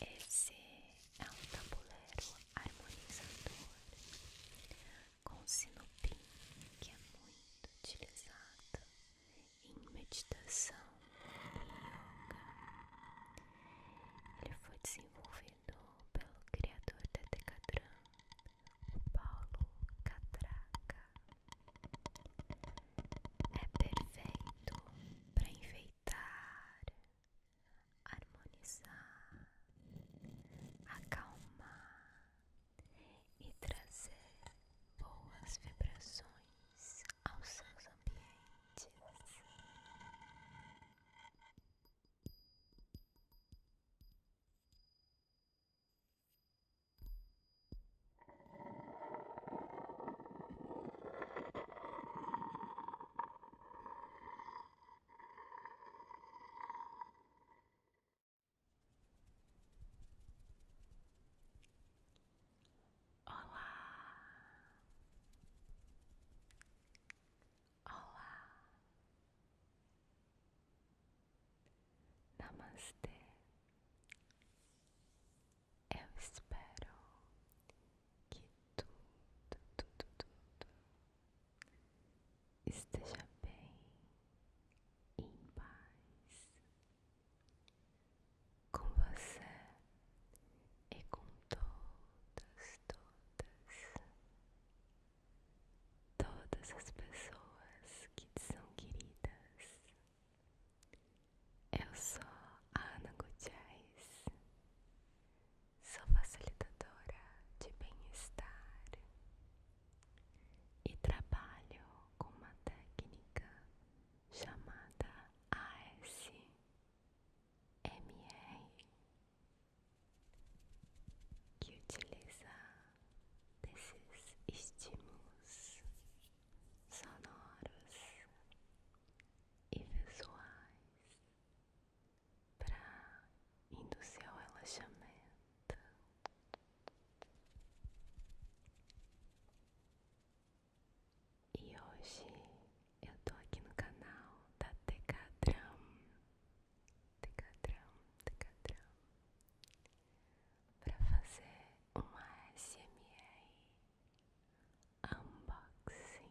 Esse é um tabuleiro harmonizador com sinopim que é muito utilizado em meditação e yoga. Ele foi desenvolvido pelo criador da Decatran, Paulo Catraca. É perfeito para enfeitar, harmonizar, acalmar e trazer boas vibrações aos seus ambientes. Olá, olá, namastê. Eu espero que tudo, tudo, tudo esteja bem, em paz com você e com todas, todas, todas as pessoas que te são queridas. Eu sou Ana Gutiérrez, sou facilitadora de bem-estar e trabalho com uma técnica chamada ASMR que utiliza desses estímulos sonoros e visuais para induzir o relaxamento e hoje eu tô aqui no canal da Decadram, Decadram, Decadram, para fazer uma SMA unboxing.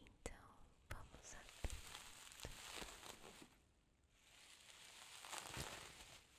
Então vamos abrindo.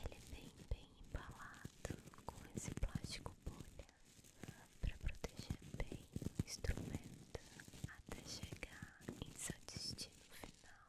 Ele vem bem embalado com esse plástico bolha para proteger bem o instrumento até chegar em seu destino final.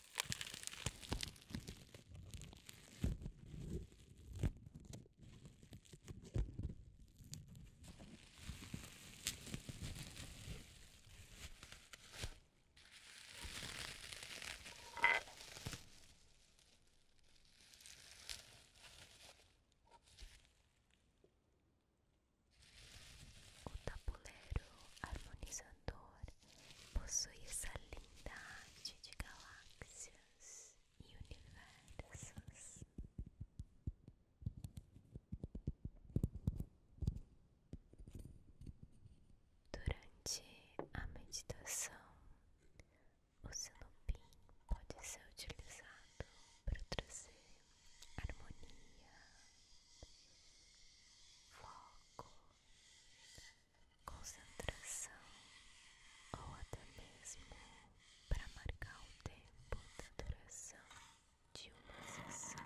O tabuleiro harmonizador possui essa linda arte de galáxias e universos. Durante a meditação, o sinopim pode ser utilizado para trazer harmonia, foco concentração ou até mesmo para marcar o tempo da duração de uma sessão.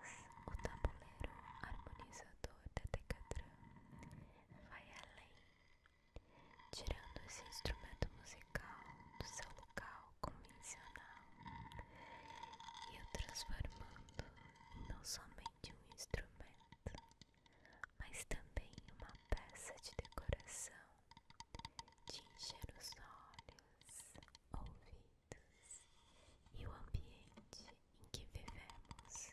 Mas o tabuleiro harmonizador da Decatran vai além, tirando esse instrumento musical do seu local convencional e o transformando não somente um instrumento, mas também uma peça de decoração, de encher os olhos, ouvidos e o ambiente em que vivemos.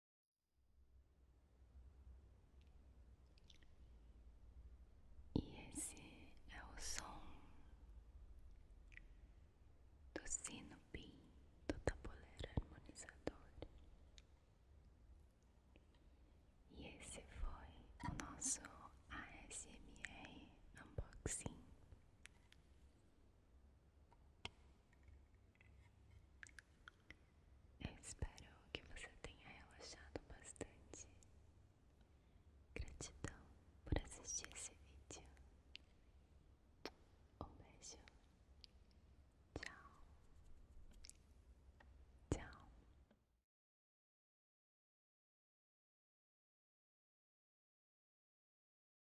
E esse é o som do sino PIN do tabuleiro harmonizador. E esse foi o nosso ASMR Unboxing espero que você tenha relaxado bastante. Gratidão por assistir esse vídeo. Um beijo. Tchau. Tchau.